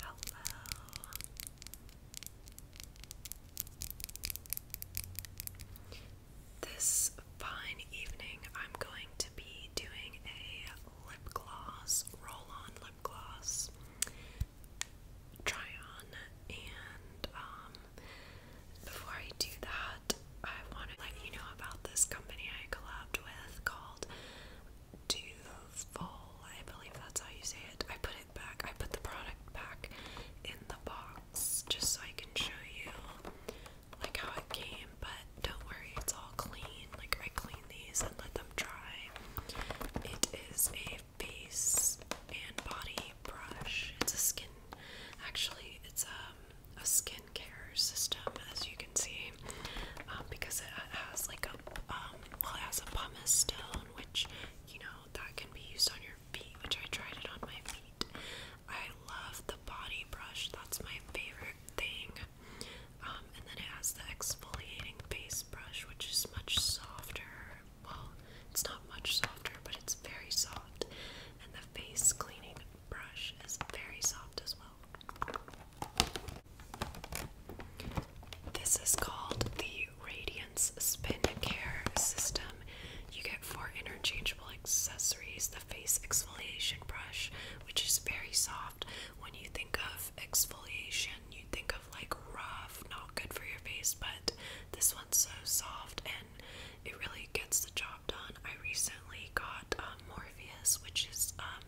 Hello. This fine evening, I'm going to be doing a lip gloss, roll on lip gloss try on. And um, before I do that, I want to let you know about this company I collabed with called Duval, I believe that's how you say it. I put it back, I put the product back in the box just so I can show you like how it came, but don't worry, it's all clean. Like I clean these and let them dry. It is a face and body brush. It's a skin actually it's um a skincare system as you can see. Um, because it has like a um, well, it has a pumice stone, which you know that can be used on your feet, which I tried it on my feet. I love the body brush, that's my favorite thing. Um, and then it has the exfoliating face brush, which is much softer. Well, it's not much softer, but it's very soft. And the face cleaning brush is very soft as well. This is called the Radiance Spin Care System. You get four interchangeable accessories the face exfoliation brush, which is very soft. When you think of exfoliation, you think of like rough, not good for your face, but this one's so soft and it really gets the job done. I recently got um, Morpheus, which is um,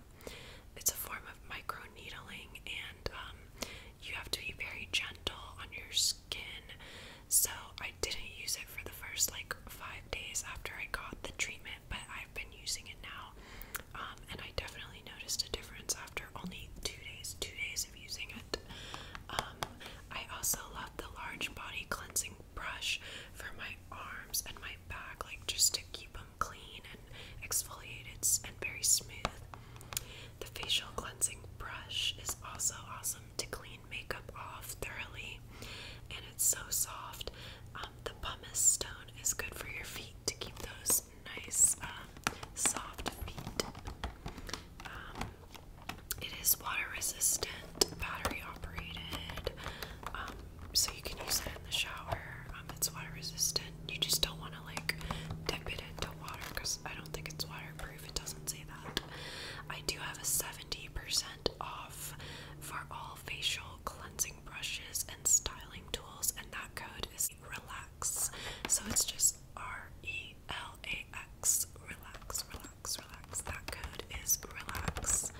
it's a form of micro needling, and um, you have to be very gentle on your skin. So I didn't use it for the first like five days after I got the treatment, but I've been using it now, um, and I definitely noticed a difference after only two days. Two days of using it. Um, I also love the large body cleansing brush for my arms and my back, like just to keep them clean and exfoliated and very smooth. The facial cleansing brush is also awesome to clean makeup off thoroughly, and it's so soft. Um, the pumice stone is good for your feet to keep those nice, um, soft feet. Um, it is water resistant, battery operated so you can use it in the shower. Um, it's water resistant. You just don't want to like dip it into water because I don't think it's waterproof. It doesn't say that. I do have a 70% off for all facial cleansing brushes and styling tools, and that code is relax. So it's just R E L A X relax, relax, relax. That code is relax.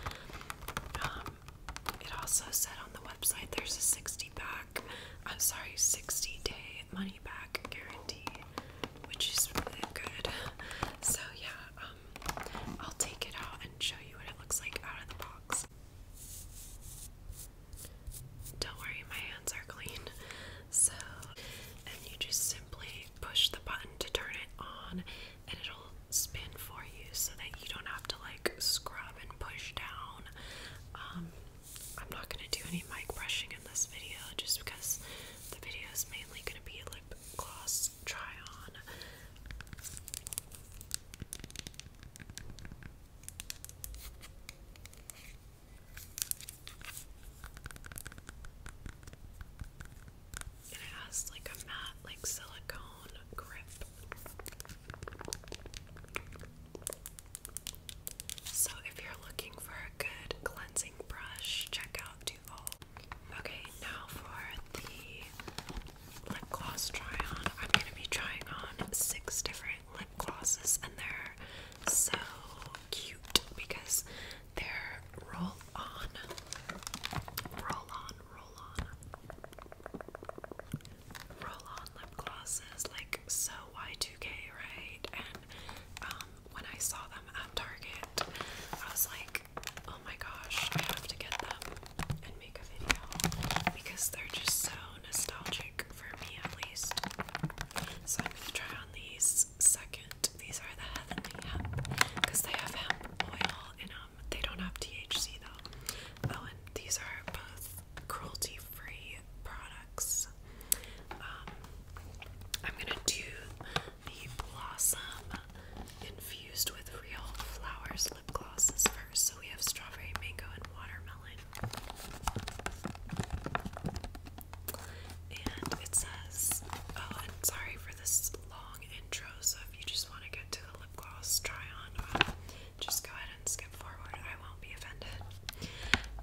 Um, it also said on the website there's a 60 pack, I'm sorry, 60 day money back guarantee, which is really good. So, yeah, um, I'll take it out and show you what it looks like out of the box. Don't worry, my hands are clean. So, and you just simply push the button to turn it on, and it'll spin for you so that you don't have to like scrub and push down. Um, I'm not gonna do any mic brushing in this video just because the video is mainly gonna be a lip gloss try on. it has like a matte, like silicone grip. So, if you're looking for a good cleansing brush, check out Duval. Okay, now for the lip gloss try on. I'm going to be trying on six different lip glosses, and they're so cute because they're roll on, roll on, roll on roll-on lip glosses, like so Y2K, right? And um, when I saw them at Target, I was like, oh my gosh, I have to get them and make a video because they're just so nostalgic for me at least. So I'm gonna try on these second. These are the heavenly hemp because they have hemp oil in them. Um, they don't have THC though. Oh, and these are both cruelty free products. Um, I'm gonna do the Blossom infused with real flowers lip glosses first. So we have strawberry, mango, and watermelon. And it says, oh, and sorry for this long intro. So if you just want to get to the lip gloss try on, um, just go ahead and skip forward. I won't be offended.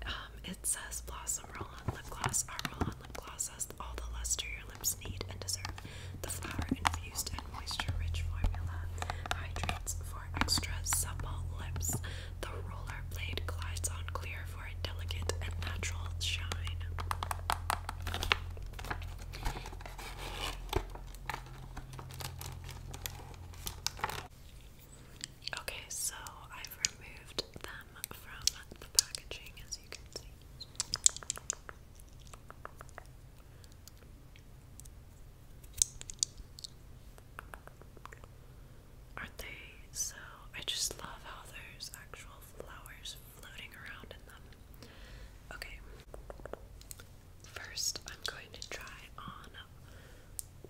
Um, it says Blossom Roll On Lip Gloss. Our Roll On Lip Gloss has all the luster your lips need and deserve. The flower infused and moisture rich formula hydrates for extra supple lips. The roller blade glides on clear for a delicate and natural shine. Okay, so I've removed them from the packaging as you can see. Aren't they so? I just love how there's actual flowers floating around in them. Okay, First, I'm going to try on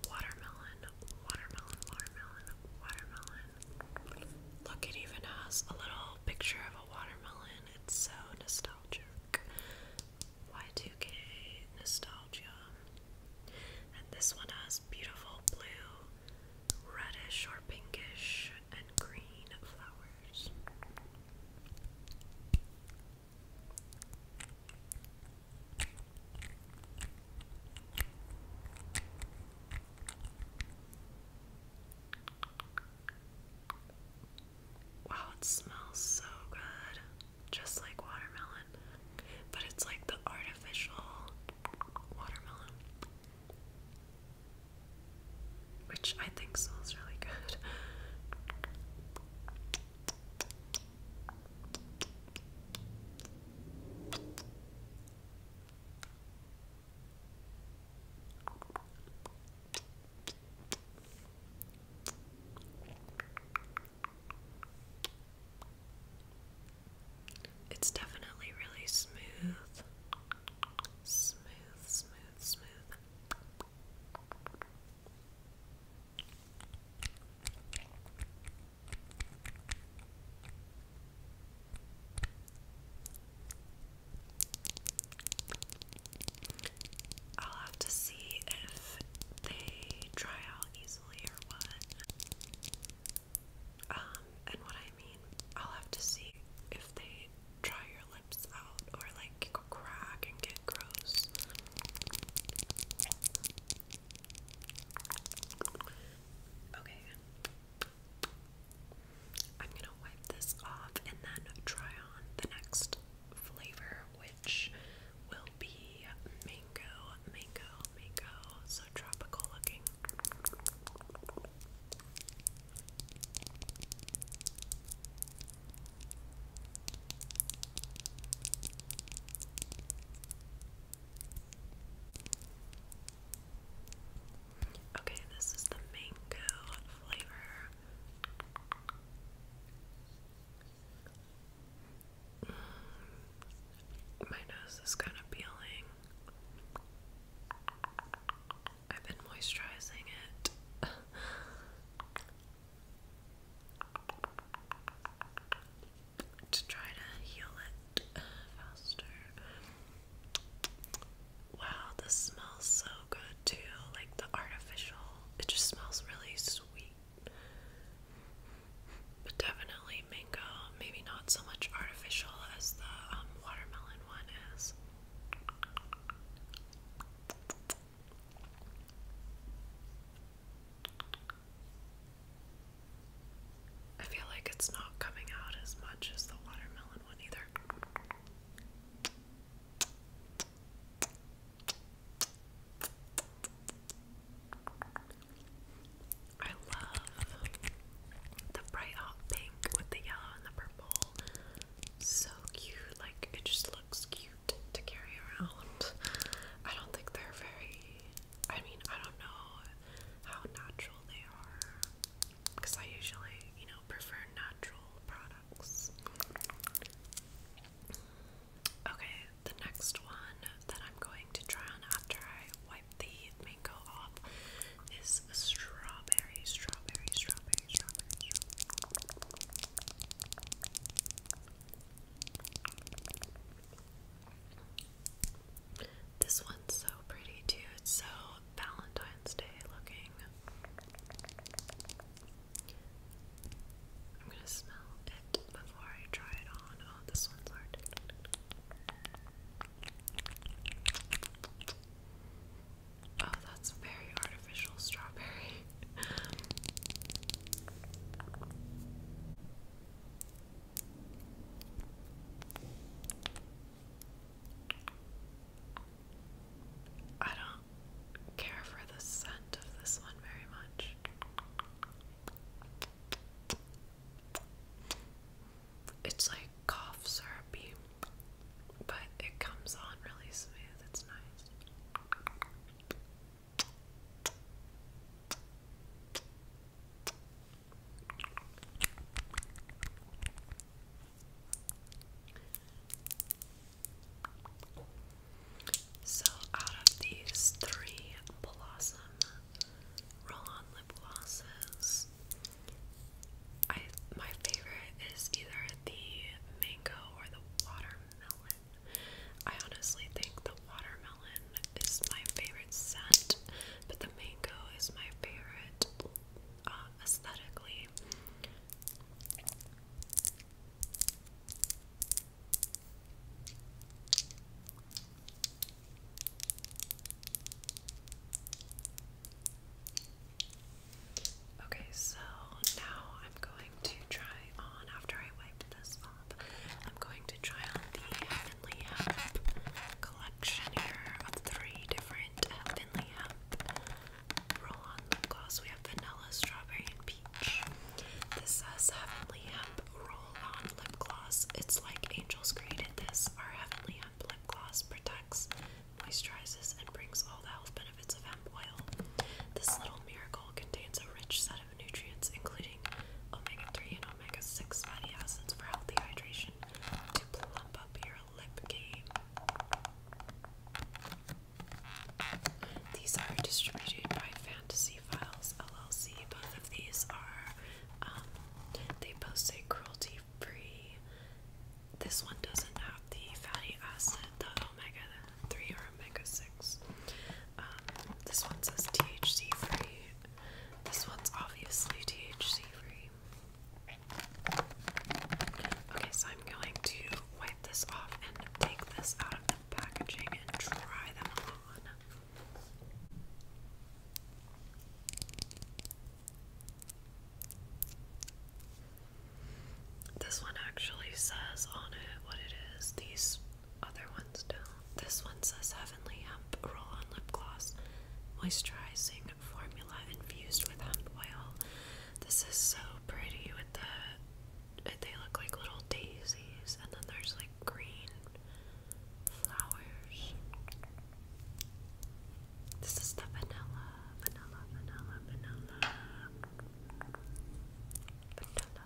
watermelon, watermelon, watermelon, watermelon. Look, it even has a little picture of a watermelon. It's so nostalgic. Y2K nostalgia. And this one has beautiful blue, reddish or pinkish, and green flowers. Wow, it smells so good. Just like watermelon. But it's like the artificial watermelon. Which I think smells really good. It's definitely really smooth. Smooth, smooth, smooth. I'll have to see if they dry out easily or what. Um, and what I mean, I'll have to see if they dry your lips out or like crack and get gross. Okay. I'm gonna wipe this off and then try on the next flavor, which will be mango, mango, mango. So tropical looking. Okay, this is the mango flavor. Mm, my nose is kind of peeling. I've been moisturizing it. to try to heal it faster. Wow, this smells so good too. Like the artificial, it just smells really sweet. But definitely mango, maybe not so much artificial as the um, watermelon one is. I feel like it's not coming out as much as the watermelon one either. I love the bright hot pink with the yellow and the purple. So cute. Like it just looks looks cute to carry around. I don't think they're very, I mean, I don't know how natural they are because I usually, you know, prefer natural products. Okay, the next one that I'm going to try on after I wipe the mango off is strawberry strawberry, strawberry, strawberry, strawberry. This one's so pretty too. It's so Valentine's Day looking. I'm gonna smell it before I try it on. Oh, this one's hard. Oh, that's very artificial strawberry. I don't care for the scent of this one very much. It's like cough syrupy but it comes on really smooth. It's nice. So, out of these three Blossom Roll On Lip Glosses, I, my favorite is either the Mango or the watermelon. I honestly think the watermelon is my favorite scent, but the mango is my favorite uh, aesthetically. Okay, so now I'm going to try on, after I wipe this up, I'm going to try on the Heavenly Hemp collection here of three different Heavenly Hemp roll on lip gloss. We have vanilla, strawberry, and peach. This says Heavenly Hemp roll on lip gloss. It's like angels created this. Our Heavenly Hemp lip gloss protects moisturizes, and brings all the health benefits of hemp oil. This little miracle contains a rich set of nutrients, including omega 3 and omega 6 fatty acids for healthy hydration to plump up your lip game. These are distributed by Fantasy Files LLC. Both of these are, um, they both say cruelty free this one doesn't have the fatty acid, the omega 3 or omega 6. Um, this one says THC free. This one's obviously THC free. Okay, so I'm going to wipe this off and take this out of the packaging and try them on. This one actually says on it what it is. These other ones don't. This one says Heavenly Hemp Roll On Lip Gloss Moisturizing Formula Infused with Hemp Oil. This is so pretty with the. They look like little daisies, and then there's like green flowers. This is the vanilla, vanilla, vanilla, vanilla. Vanilla.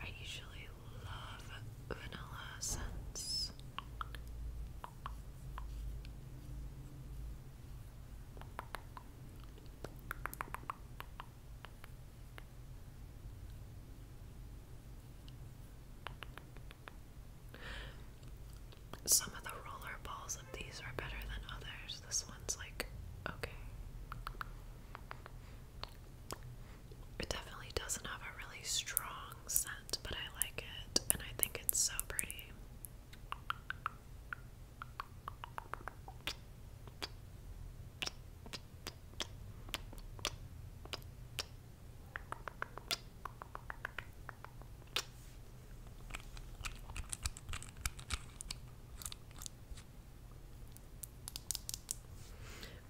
I usually love vanilla scents. Some of the roller balls of these are better than others. This one's like, okay. It definitely doesn't have a really strong scent, but I like it, and I think it's so pretty.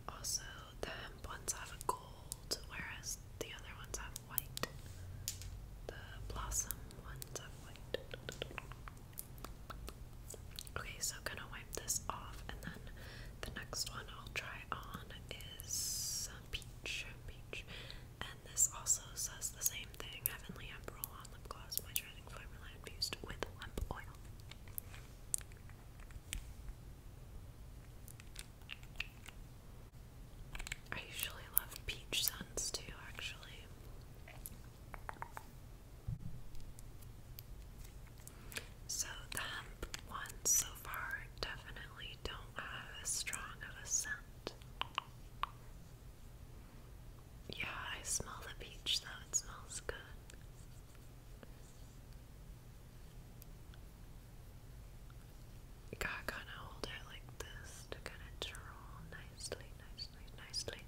Also, the hemp ones have gold, whereas the other ones have white. The blossom ones have white. Okay, so gonna wipe this off, and then the next one I'll try on is uh, peach, peach, this also says the same thing Heavenly Emperor on lip gloss, moisturizing formula infused with lamp oil. I usually love peach scents too, actually. So the hemp one so far definitely don't have as strong of a scent. Yeah, I smell the beach, though, it smells good. gotta kind of hold it like this to get it to nicely, nicely, nicely.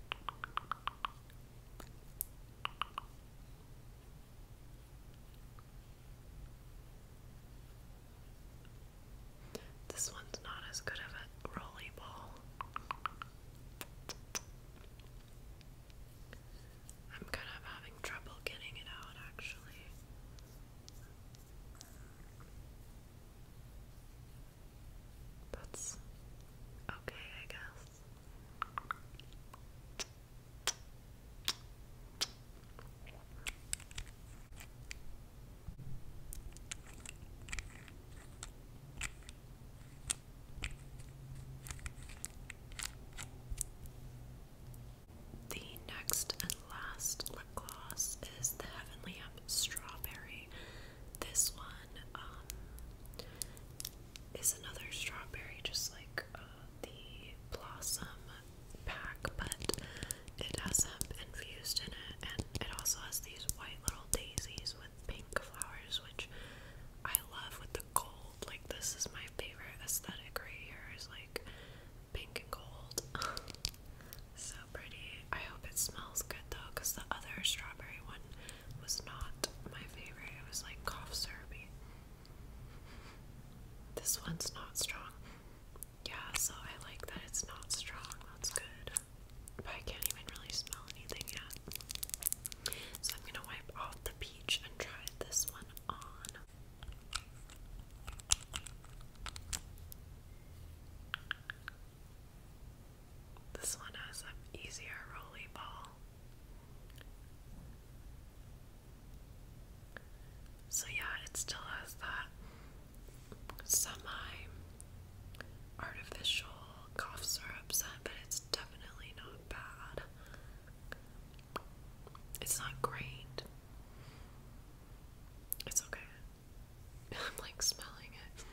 This one's not as good of a rolly ball. I'm kind of having trouble getting it out actually. That's okay, I guess. The next and last lip gloss is the Heavenly Up Strawberry. This one um, is another strawberry, just like uh, the Blossom pack, but it has some infused in it, and it also has these white little daisies with pink flowers, which I love with the gold. Like this is my favorite aesthetic right here is like pink and gold. so pretty. I hope it smells good though, because the other strawberry one was not my favorite. It was like cough syrupy. This one's not strong. Yeah, so I like that it's not strong. That's good. But I can't even really smell anything yet. So I'm going to wipe off the peach and try this one on. This one has an easier rolly ball. So, yeah, it still has that semi artificial cough syrup but it's definitely not bad. It's not great. It's okay. I'm like smelling it.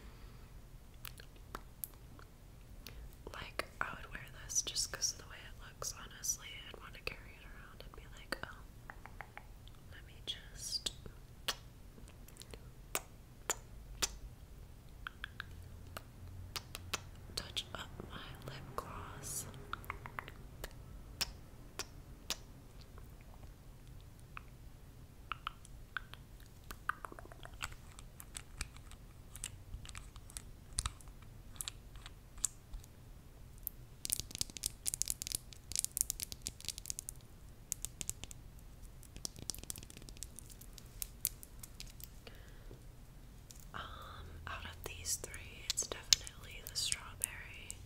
Like, I would wear this just because of the way it looks, honestly. I'd want to carry it around and be like, oh. Let me just. Touch up my lip gloss. Um, out of these three, it's definitely the strawberry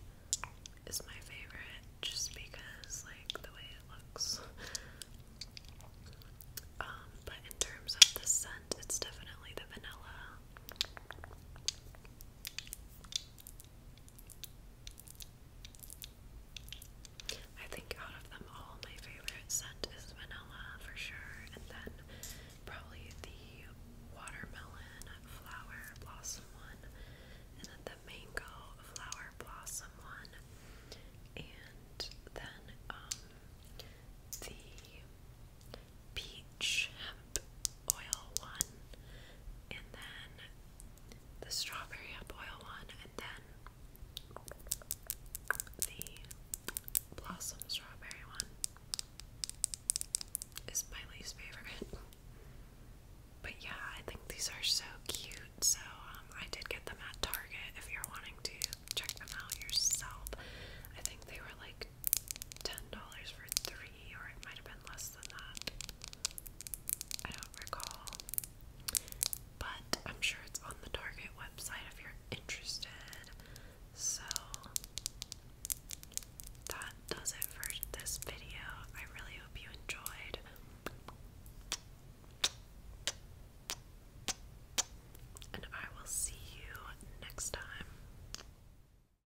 is my favorite just because like the way it looks. Um, but in terms of the scent, it's definitely the vanilla. I think out of them all, my favorite scent is vanilla for sure, and then probably the watermelon flower blossom one, and then the mango flower blossom one, and then um, the peach hemp oil one, and then the strawberry hemp oil one, and then the blossom strawberry one is my least favorite. But yeah, I think these are so cute. So um, I did get them at Target. If you're wanting to check them out yourself, I think they were like ten dollars for three, or it might have been less than that. I don't recall. But I'm sure it's on the Target website if you're interested. So that does it for this video. I really hope you enjoyed. And I will see you next time.